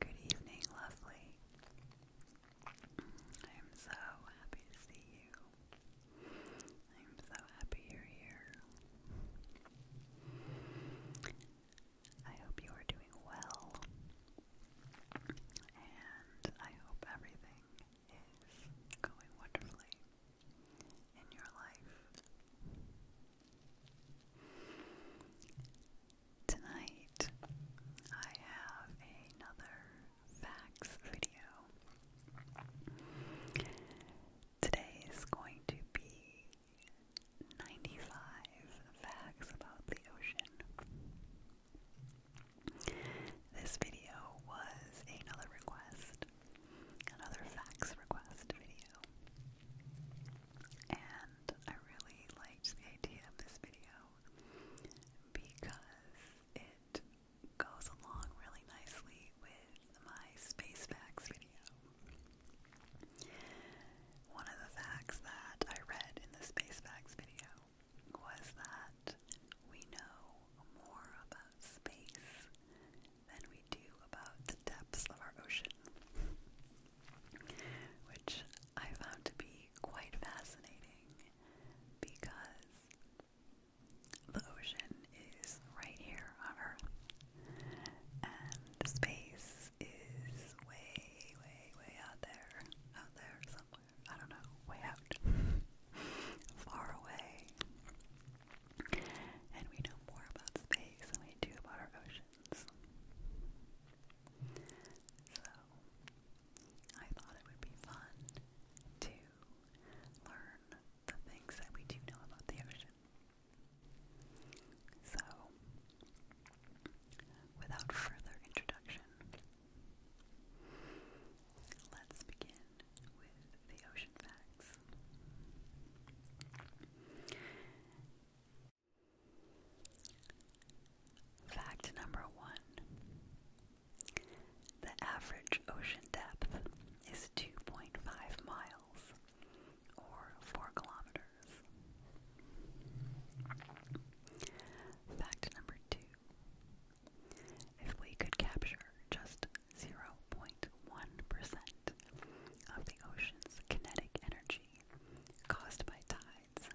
Good evening, lovely. I'm so happy to see you. I'm so happy you're here. I hope you are doing well, and I hope everything is going wonderfully in your life. Tonight, I have another facts video. Today is going to be 95 facts about the ocean. This video was another request another fax request video. And I really liked the idea of this video because it goes along really nicely with my space facts video. One of the facts that I read in the space facts video was that we know more about space than we do about the depths of our ocean, which I found to be quite fascinating because the ocean is right here on Earth, and space is way, way, way out there, out there somewhere. I don't know, way out, far away. And we know more about space than we do about our oceans. So, I thought it would be fun to learn the things that we do know about the ocean. So, without further introduction, Let's begin with the ocean facts. Fact number one The average ocean depth is 2.5 miles or 4 kilometers. Fact number two if we could capture just 0.1% of the ocean's kinetic energy caused by tides,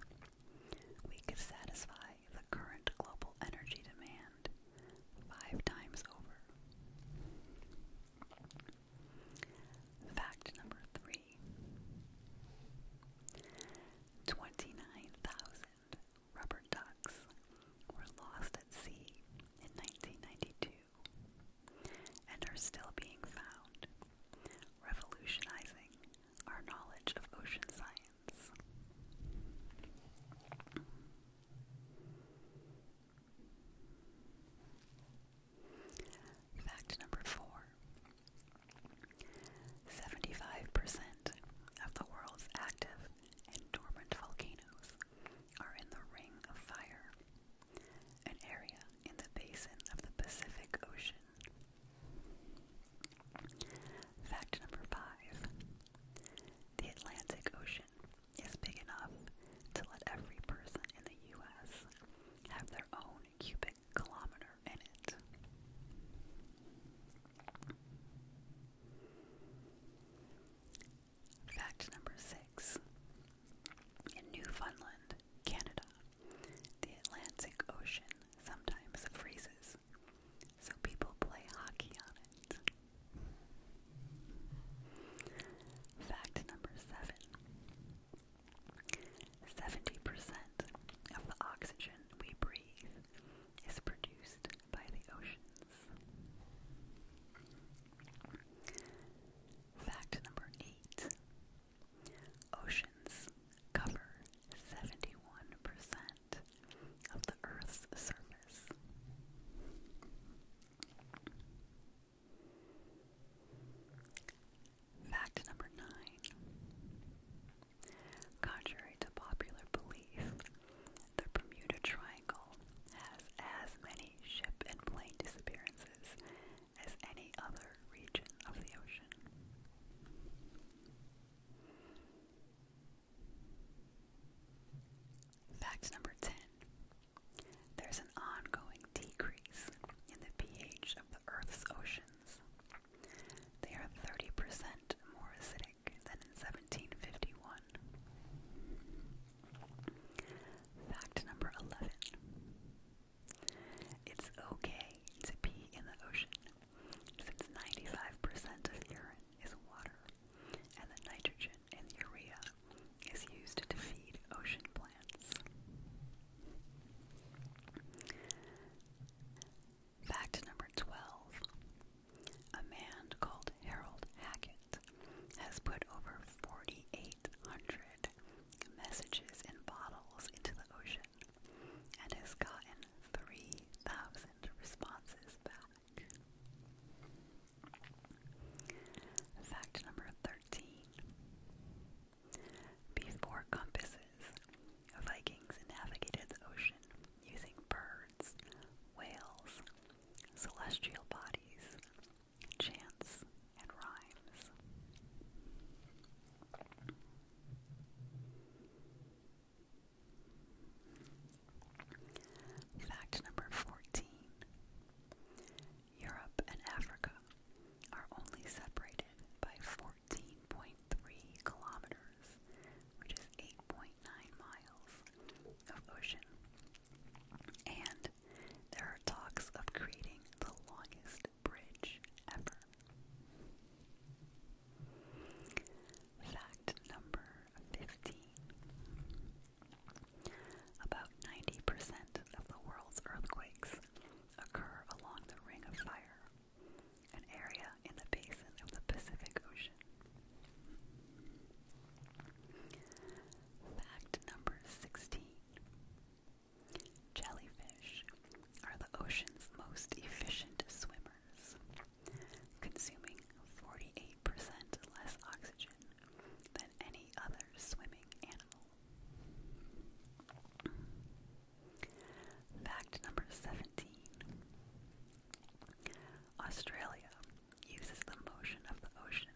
we could satisfy the current global energy demand five times over. Fact number three rubber ducks were lost at sea in 1992 and are still being found, revolutionizing our knowledge of ocean science. Fact number four 75% of the world's active and dormant volcanoes are in the Ring of Fire, an area in the basin of the Pacific Ocean. Fact number five The Atlantic Ocean is big enough to let every person in the U.S. have their own cubic kilometer in it. Fact number six. In Newfoundland, Canada, the Atlantic Ocean sometimes freezes, so people play hockey on it. Fact number seven. 70% of the oxygen we breathe is produced by the oceans. Fact number eight Oceans cover 71% of the Earth's surface. Fact number nine. Contrary to popular belief, the Bermuda Triangle has as many ship and plane disappearances as any other region of the ocean. Fact number 10. There's an ongoing decrease in the pH of the Earth's oceans. They are 30% more acidic Atlantic than in 1751. Fact number 11. It's okay to pee in the ocean since 95% of urine is water and the nitrogen in urea is used to feed ocean plants. Fact number 12. A man called Harold Hackett has put over 4,800 messages in bottles into the ocean and has gotten 3,000 responses back. Fact number 13. Before compasses, Vikings navigated the ocean using birds, whales, celestial bodies, chants, and rhymes. Fact number 14 Europe and Africa are only separated by 14.3 kilometers, which is 8.3 miles of ocean. And there are talks of creating the longest bridge ever. Fact number 15. About 90% of the world's earthquakes occur along the Ring of Fire, an area in the basin of the Pacific Ocean. Fact number 16 Jellyfish are the ocean's most efficient swimmers, consuming 48% less oxygen than any other swimming animal. Fact number 17 Australia uses the motion of the ocean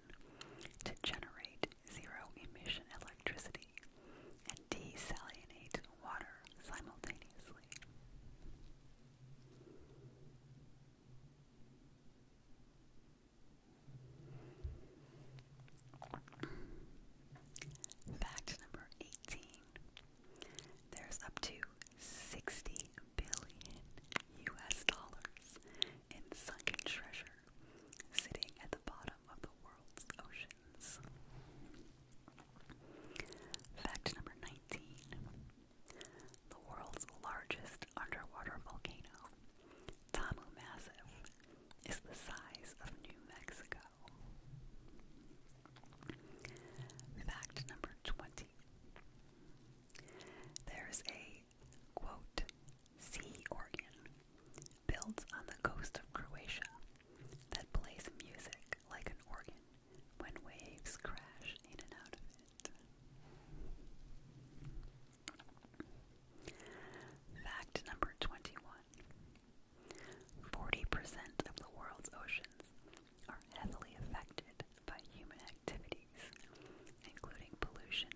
to generate zero emission electricity and desalinate water simultaneously. Fact number 18. There's up to 60 billion US dollars in sunken treasure sitting at the bottom of the world's oceans. Fact number 19 The world's largest underwater volcano, Tamu Massive, is the size of New Mexico. Fact number 20 there's a quote sea organ built on the coast of Croatia that plays music like an organ when waves crash in and out of it. Fact number 21 40% of the world's oceans are heavily affected by human activities, including pollution,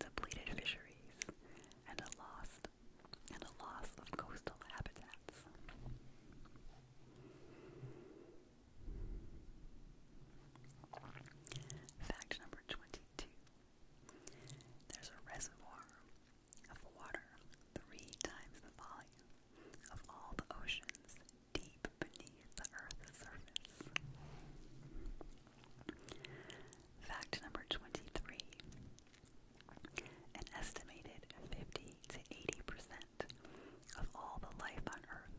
depleted fisheries, and a loss and a loss of coastal habitats. Fact number 22. There's a reservoir of water three times the volume of all the oceans the Fact number 23 An estimated 50 to 80% of all the life on Earth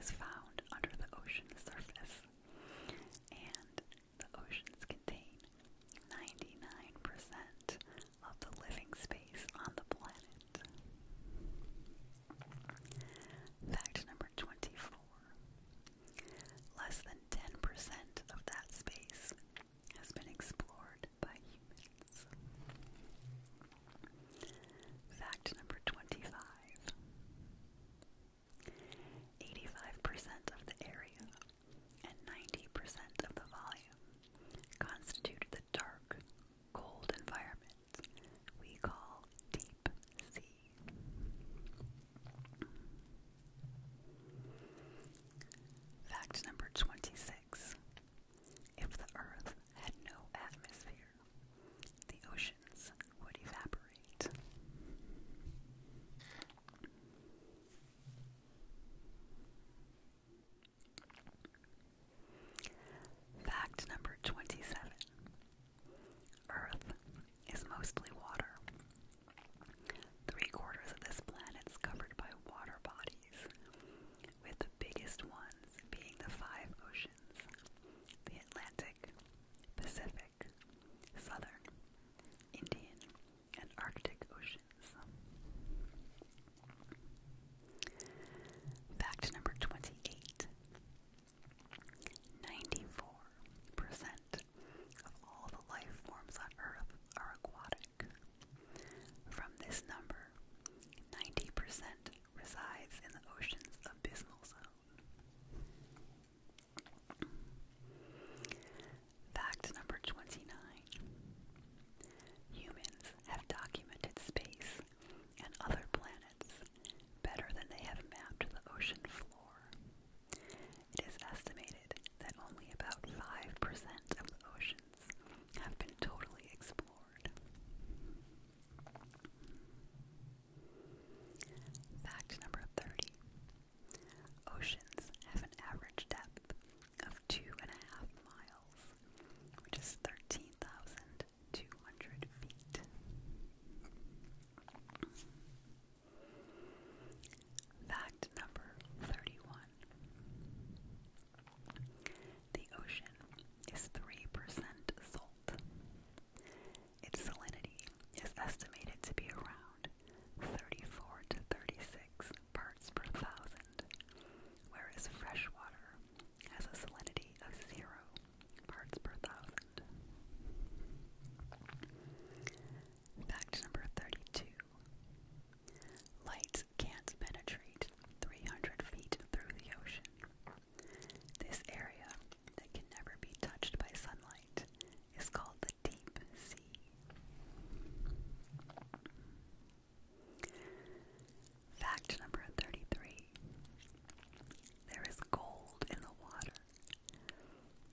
is found under the ocean surface, and the oceans contain 99% of the living space on the planet. Fact number 24 less than 10% of that space has been explored by humans. Fact number 25 85% of the area and 90% of the volume constitute the dark, cold environment we call deep sea. Fact number 26. If the Earth had no atmosphere, the oceans would evaporate. Fact number 27 Earth is mostly water. Three quarters of this planet's covered by water bodies, with the biggest ones being the five oceans the Atlantic, Pacific, Southern, Indian, and Arctic oceans. Fact number 28 percent of all the life forms on Earth are aquatic. From this number, 90% resides in the ocean's abysmal zone. Fact number 29 Humans have documented space and other planets better than they have mapped the ocean floor. It is estimated that only about 5% of the oceans have been totally explored. Fact number 30. Oceans have an average depth of two and a half miles, which is 13,000 200 feet. Fact number 31 The ocean is 3% salt. Its salinity is estimated to be around 34 to 36 parts per thousand, whereas fresh water has a salinity of zero parts per thousand. Fact number 32 Light can't penetrate 300 feet through the ocean. This area that can never be touched by sunlight is called the deep sea. Fact number 33 There is gold in the water.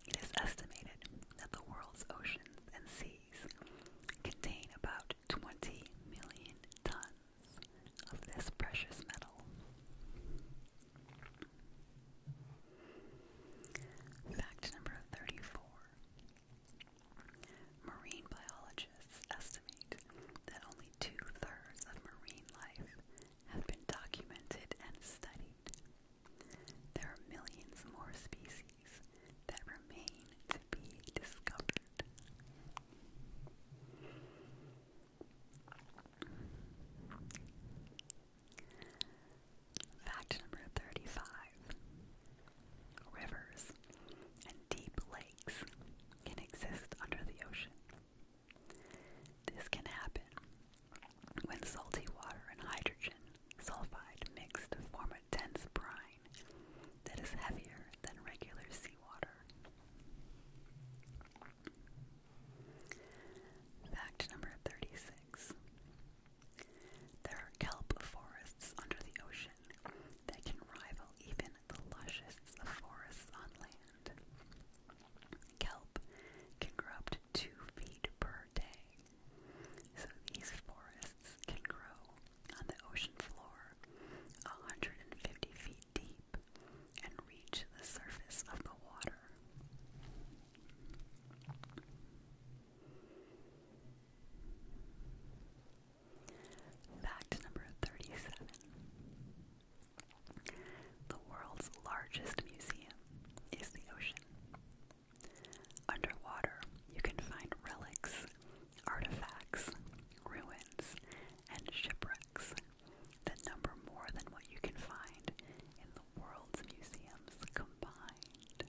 It is estimated that the world's oceans and seas contain about 20 million tons of this precious metal. Fact number 34 Marine biology estimate that only two-thirds of marine life have been documented and studied. There are millions more species that remain to be discovered. Fact number 35 Rivers and deep lakes can exist under the ocean. This can happen when salty water and hydrogen sulfide mixed form a dense brine that is heavier than regular seawater. Fact number 36. There are kelp forests under the ocean that can rival even the lushest forests on land. Kelp can grow up to two feet per day, so these forests can grow on the ocean floor 150 feet deep and reach the surface of the water. Fact number 37 The world's largest museum is the ocean. Underwater, you can find relics, artifacts, ruins, and shipwrecks that number more than what you can find in the world's museums combined.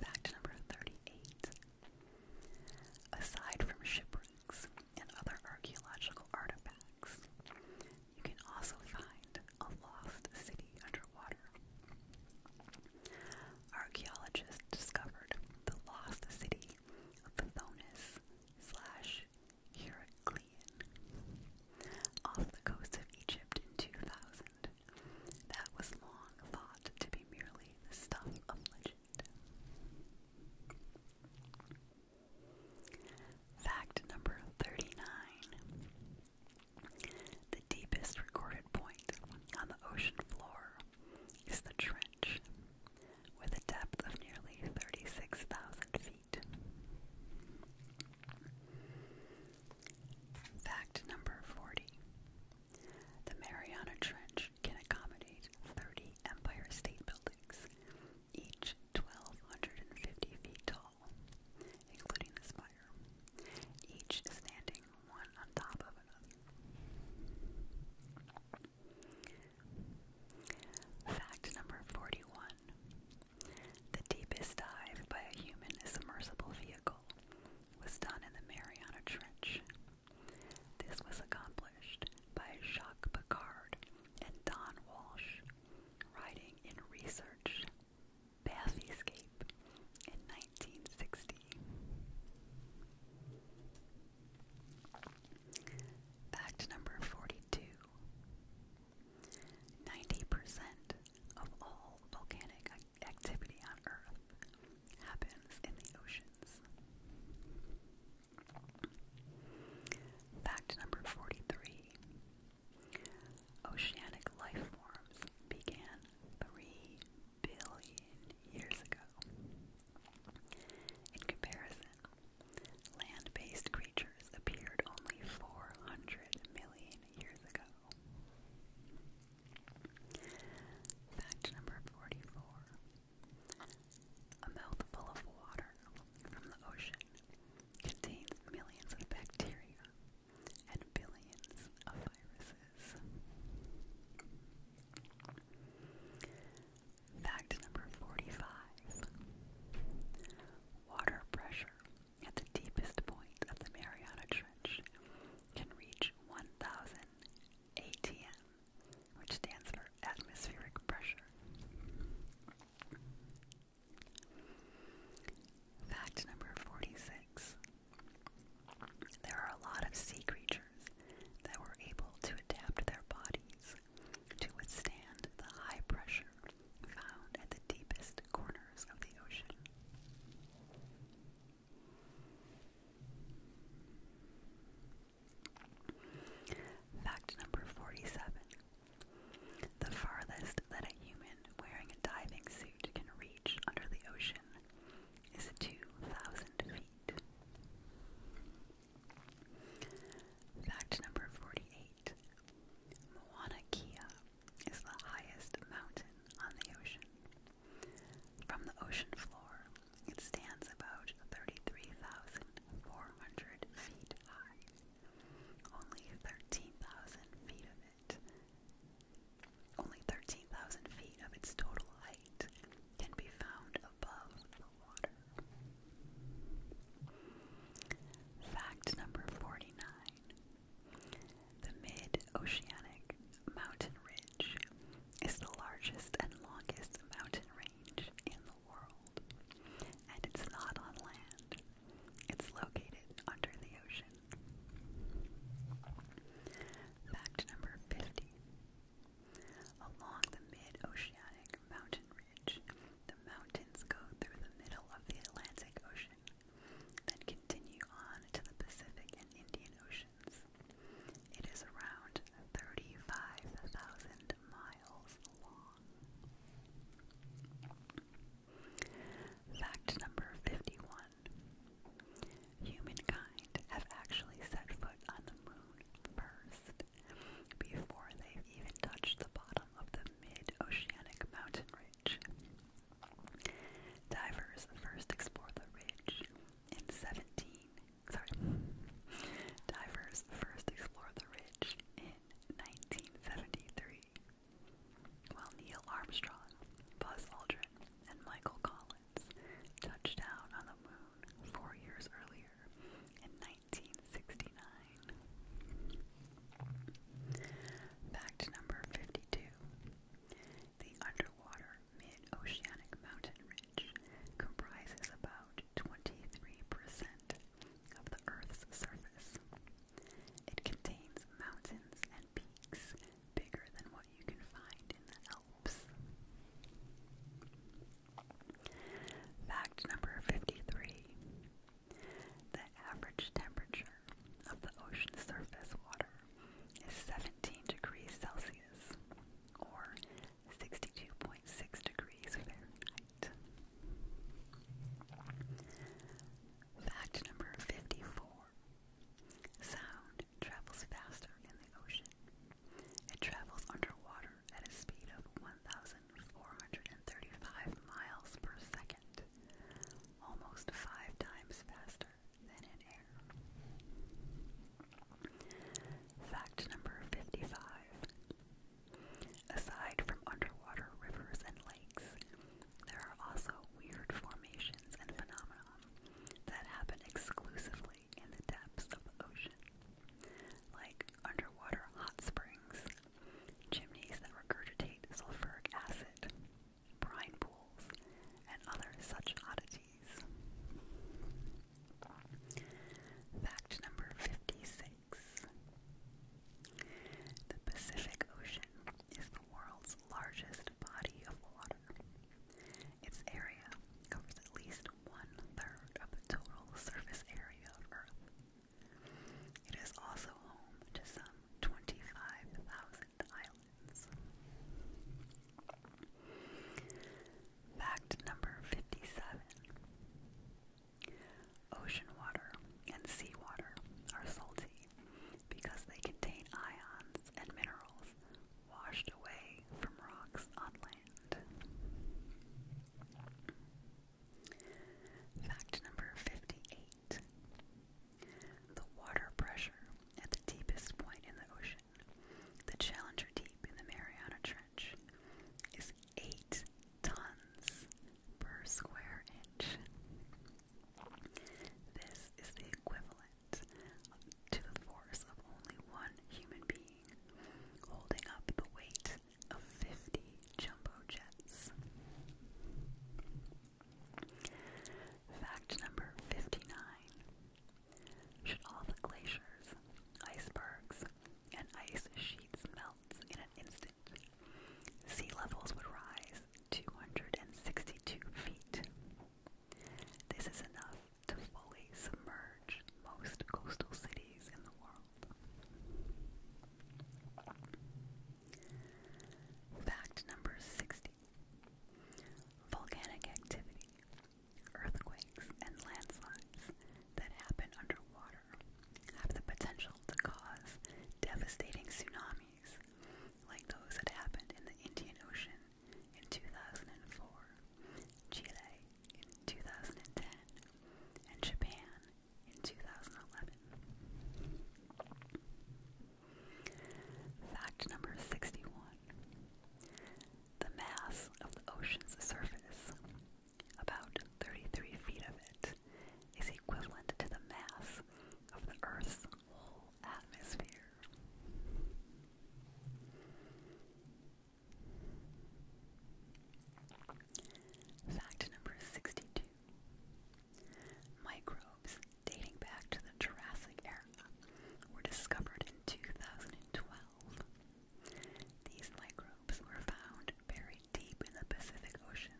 Fact number 38. Aside from shipwrecks and other archaeological artifacts, you can also find a lost city underwater. Archaeologists discovered the lost city of Tithonus slash Heraclean off the coast of Egypt in 2000 that was long thought to be merely the stuff of legend. Fact number 39. The deepest recorded point on the ocean floor is the trench, with a depth of nearly 36,000 feet. Fact number 40. The Mariana Trench can accommodate 30 Empire State Buildings, each 1,250 feet tall, including the spire, each standing one on top of another. Fact number 41. The deepest dive by a human submersible vehicle miracle was done in the Mariana Trench. This was accomplished by Jacques Picard and Don Walsh, writing in Research, Bath Escape in 1960. Fact number 42 percent of all volcanic activity on Earth happens in the oceans. Fact number 43 Oceanic life forms began 3 billion years ago. In comparison, land based creatures appeared only 400 million years ago. Fact number 44 A mouthful of water from the ocean contains millions of bacteria and billions of viruses. Fact number 45 Water pressure at the deepest point of the Mariana Trench can reach 1000 ATM, which stands for atmospheric pressure. Fact number 46. There are a lot of sea creatures that were able to adapt their bodies to withstand the high pressure found in the deepest corners of the ocean. Fact number 47. The farthest that a human wearing a diving suit can reach under the ocean is 2,000 feet. Fact number 48. Mauna Kea is the highest mountain on the ocean. From the ocean floor, it stands about 33,400 feet high. Only 13,000 feet of it, only 13,000 feet of its total height can be found above the water. Fact number 49 the mid-oceanic mountain ridge is the largest and longest mountain range in the world, and it's not on land. It's located under the ocean. Fact number 50. Along the mid-oceanic mountain ridge, the mountains go through the middle of the Atlantic Ocean then continue on to the Pacific and Indian Oceans. It is around 35,000 miles long. Fact number 51 Humankind have actually set foot on the moon first, before they've even touched the bottom of the mid oceanic mountain range. Divers first explored the ridge in 17. Sorry. Divers first explored the ridge in 1973. While Neil Armstrong, Buzz Aldrin, and Michael Collins touched down on the moon four years earlier in 1969. Fact number 52. The underwater mid-oceanic mountain ridge comprises about 23% of the Earth's surface. It contains mountains and peaks bigger than what you can find in the Alps. Fact number 53. The average temperature of the ocean surface water is 17 degrees Celsius or 62.6 degrees Fahrenheit. Fact number 54 Sound travels faster in the ocean. It travels underwater at a speed of 1,435 miles per second, almost five times faster Fact number 55. Aside from underwater rivers and lakes, there are also weird formations and phenomena that happen exclusively in the depths of the ocean, like underwater hot springs, chimneys that regurgitate sulfuric acid, brine pools, and other such oddities. Fact number 56 The Pacific Ocean is the world's largest body of water. Its area covers at least one third of the total surface area of Earth. It is also home to some 25,000 Falkland Fact number 57 Ocean water and seawater are salty because they contain ions and minerals washed away from rocks on land. Fact number 58 the water pressure at the deepest point in the ocean, the Challenger Deep in the Mariana Trench, is 8 tons per square inch. This is the equivalent to the force of only one human being holding up the weight of 50 jumbo jets. Fact number 59. Should all the glaciers, icebergs, and ice sheets melt in an instant, sea levels would rise 262 feet. This is enough to fully submerge most coastal cities in the world. Fact number 60. Volcanic activity, earthquakes, and landslides that happen underwater have the potential to cause devastating tsunamis like those that happened in the Indian Ocean in 2004, Chile in 2010, and Japan in 2011. Fact number 61 The mass of the ocean's surface, about 33 feet of it, is equivalent to the mass of the Earth's whole atmosphere. Fact number 62 Microbes dating back to the Jurassic era, were discovered in 2012. These microbes were found buried deep in the Pacific Ocean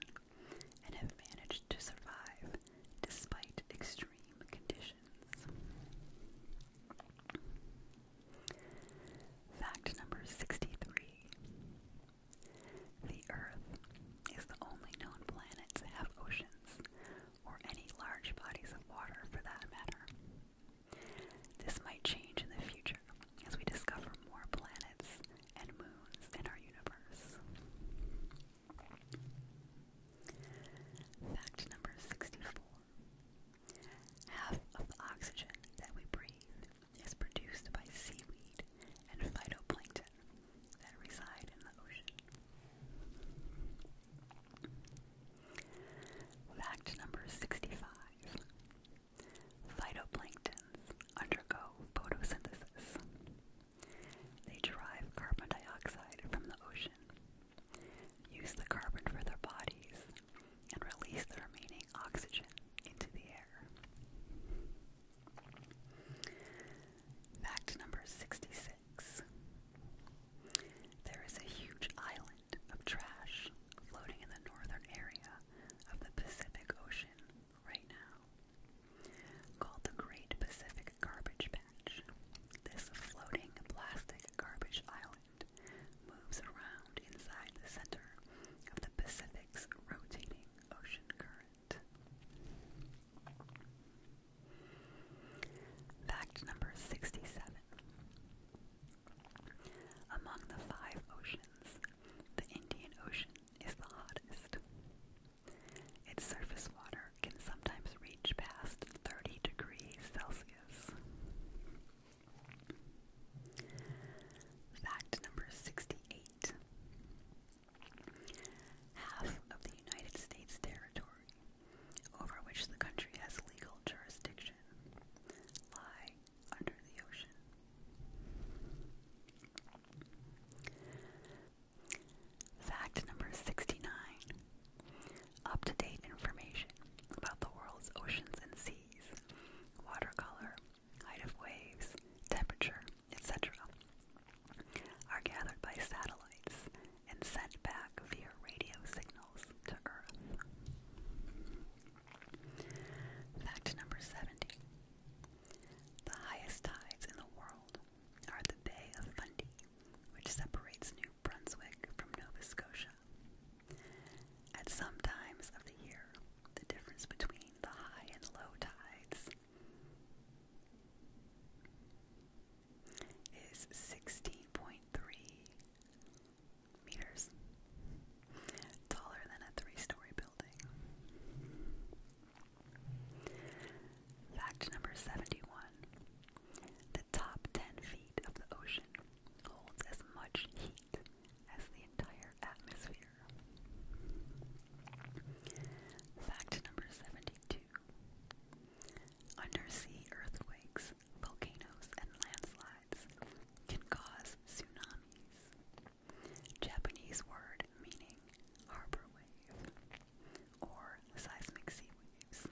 and have managed to survive despite extreme conditions. Fact number 63 The Earth is the only known planet to have oceans, or any large bodies of water for that matter. This might change in the future as we discover more planets and moons in our universe. Fact number 64 Half of the oxygen that we breathe is produced by seaweed and phytoplankton that reside in the ocean. Fact number 65. Phytoplanktons undergo photosynthesis. They derive carbon dioxide from the ocean, use the carbon for their bodies, and release the remaining oxygen into the air. Fact number 66. There is a huge island of trash floating in the northern area of the Pacific Ocean right now, called the Great Pacific Garbage Patch. This floating plastic garbage island moves around inside the center of the Pacific's rotating ocean current. Fact number 67. Among the five oceans, the Indian Ocean is the hottest. Its surface water can sometimes reach past 30 degrees Celsius. Fact number 68 half of the United States territory over which the country has legal jurisdiction lie under the ocean. Fact number 69. Up to date information about the world's oceans and seas, water color, height of waves, temperature, etc are gathered by satellites and sent back via radio signals to Earth. Fact number 70. The highest tides in the world are the Bay of Fundy, which separates New Brunswick from Nova Scotia. At some times of the year, the difference between the high and low tides is 16.3 meters, taller than a three story building. Fact number 71 The top 10 feet of the ocean holds as much heat as the entire atmosphere. Fact number 72 Undersea earthquakes, volcanoes, and landslides can cause tsunamis. Japanese word meaning harbor wave or seismic sea waves.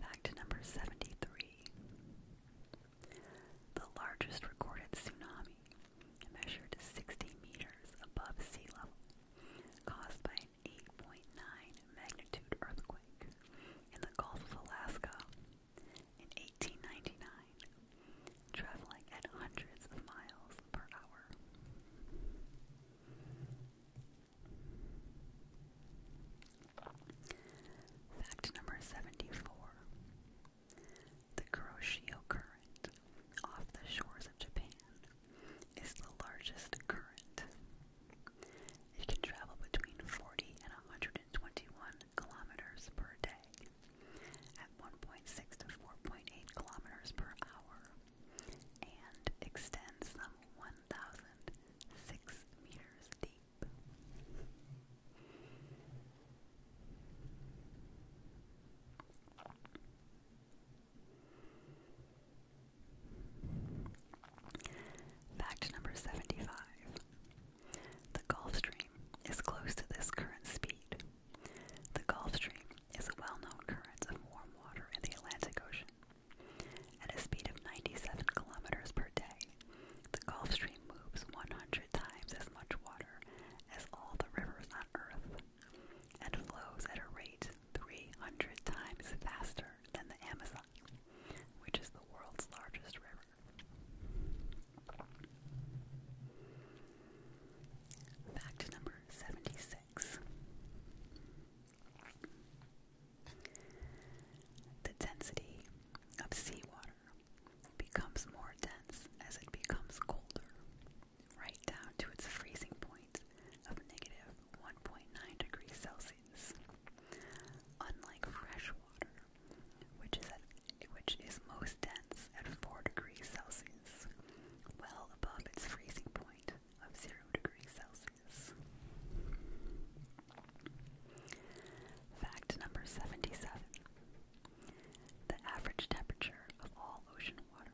Fact number 73. The largest recorded tsunami measured 60 meters above sea level, caused by an 8.9 magnitude earthquake in the Gulf of Alaska in 1899, traveling at hundreds of miles per hour. Fact number 74. The Kuroshio Current off the shores of Japan is the largest current. It can travel between 40 and 121 kilometers per day at 1.6 to 4.8 kilometers per hour and extends some 1,006 meters deep. Fact number 75. The Gulf Stream is close to this current speed. The Gulf Stream is a well known current of warm water in the Atlantic Ocean. At a speed of 97 kilometers per day, the Gulf Stream moves 100 times as much water as all the rivers on Earth and flows at a rate 300 times faster than the Amazon, which is the world's largest river. Fact number 76. The density of seawater becomes more dense as it becomes colder, right down to its freezing point of negative 1.9 degrees Celsius. Unlike fresh water, which is at, which is most dense at 4 degrees Celsius, well above its freezing point of 0 degrees Celsius. Fact number 77. The average temperature of all ocean water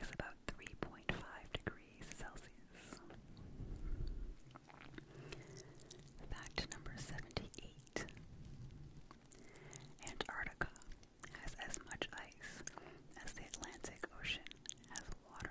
is about 3.5 degrees Celsius. Fact number 78 Antarctica has as much ice as the Atlantic Ocean has water.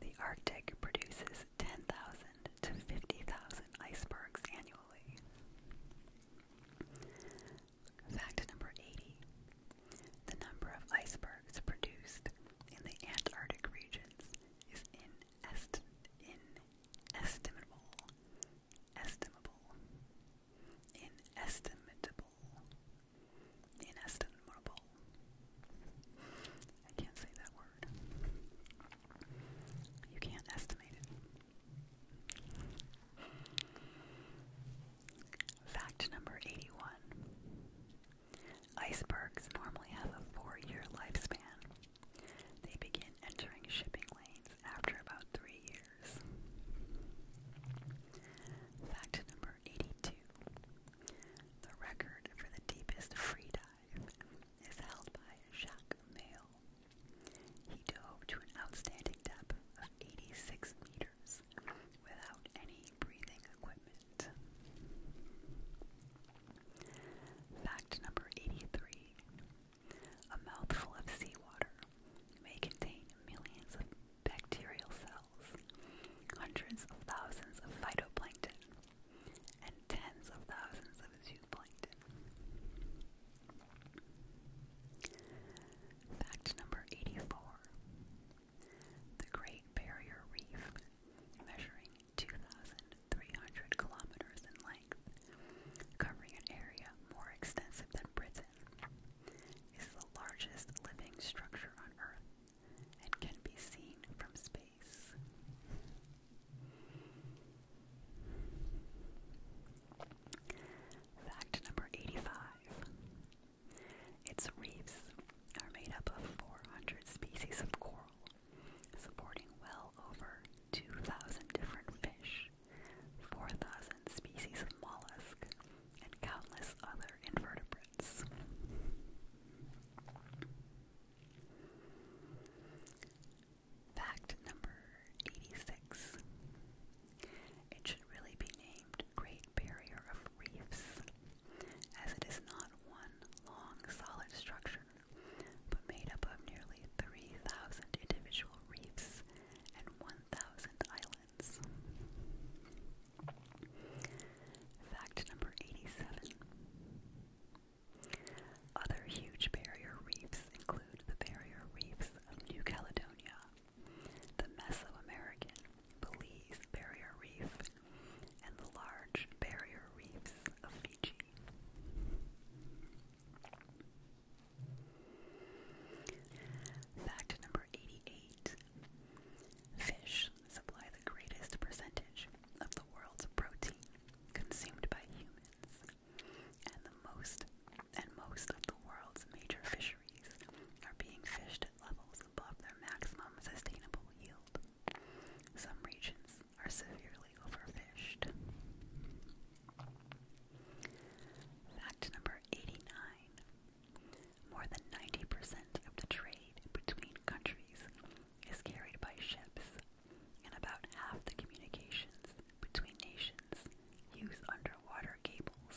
The Arctic produces 10,000 to 50,000 icebergs annually. Fact number 80. The number of icebergs produced in the Antarctic regions is inest inestimable. Estimable. Inestimable. Inestimable. I can't say that word. You can't estimate it. Fact number 81 Icebergs normally have a four year lifespan. They begin entering shipping lanes after about three years. Fact number 82 The record for the deepest free dive is held by Jacques Mail. He dove to an outstanding depth of 86 meters without any breathing equipment. Fact number 83 A mouthful of seawater may contain millions of bacterial cells, hundreds of thousands of phytoplankton, and tens of thousands of zooplankton. Fact number 84. The Great Barrier Reef, measuring 2,300 kilometers in length, covering an area more extensive than Britain, is the largest living structure on Earth and can be seen from space. Fact number 85 Its reefs are made up of 400 species of coral, supporting well over 2,000 different fish, 4,000 species of mollusk, and countless other invertebrates. Fact number 86. It should really be named Great Barrier of Reefs, as it is not one long solid structure, but made up of nearly 3,000 individual reefs and 1,000 islands. Fact number 87. Other huge barrier reefs include the barrier reefs of New Caledonia, the Mesoamerican Belize Barrier Reef, and the large barrier reefs of Fiji. Fact number 88. Fish supply the greatest percentage of the world's protein consumed by humans, and most and most of the world's major fisheries are being fished at levels above their maximum sustainable yield. Some regions are severely overfished. Fact number 89. More than 90% of the trade between countries is carried by ships, and about half the communications between nations use underwater cables.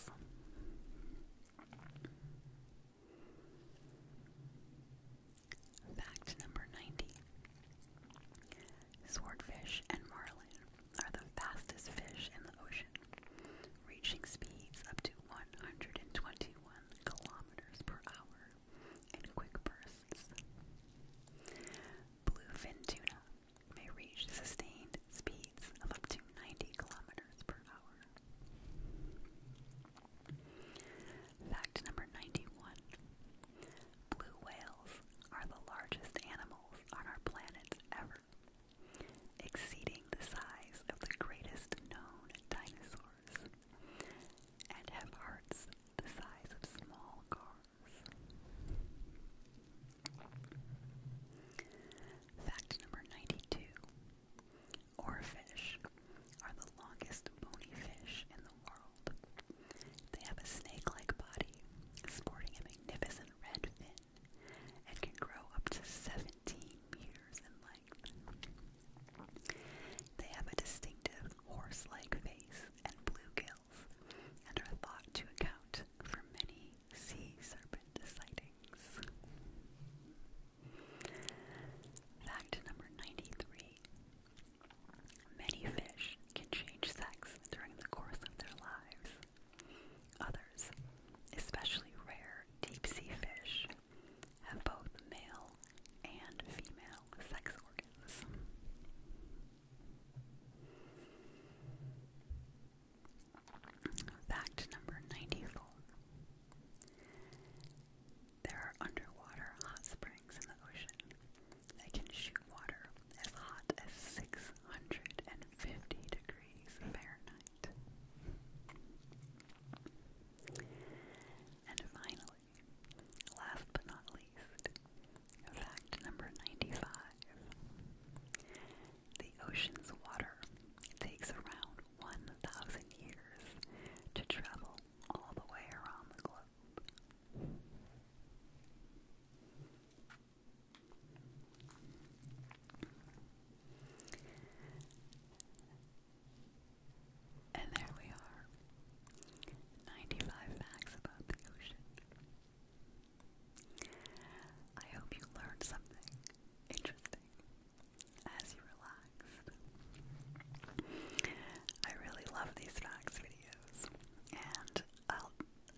Fact number 90 Swordfish and marlin are the fastest fish in the ocean, reaching speeds up to 121 kilometers per hour in quick bursts. Bluefin tuna may reach sustained speeds of up to 90 kilometers per hour. Fact number 91. Blue whales are the largest animals on our planet ever, exceeding the size of the greatest known dinosaurs and have hearts the size of small cars. Fact number 92 Oarfish are the longest bony fish in the world. They have a snake like body, sporting a magnificent red fin, and can grow up to 17 meters in they have a distinctive horse-like face and blue gills, and are thought to account for many sea serpent sightings. Fact number 93. Many fish can change sex during the course of their lives. Others, especially rare deep sea fish, have both male and female sex organs. Fact number 94 There are underwater hot springs in the ocean that can shoot water as hot as 650 degrees Fahrenheit. And finally, Last but not least, fact number 95. The ocean's water takes around 1,000 years to travel all the way around the globe. And there we are. 95 facts about the ocean. I hope you learned something interesting as you relaxed. I really love these facts videos. And i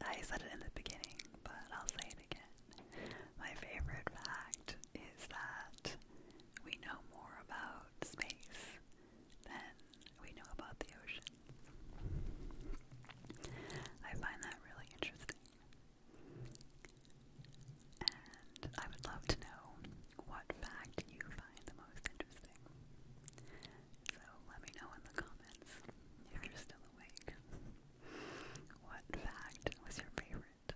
I said it in the beginning, but I'll say it again. My favorite fact is that we know more about space than we know about the ocean. I find that really interesting. And I would love to know what fact you find the most interesting. So let me know in the comments if you're still awake. What fact was your favorite?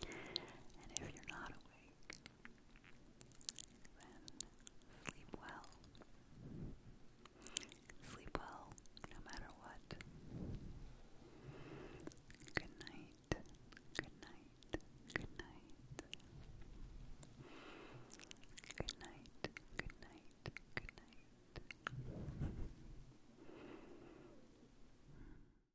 And if you're not awake. Then sleep well. Sleep well no matter what. Good night. Good night. Good night. Good night. Good night. Good night.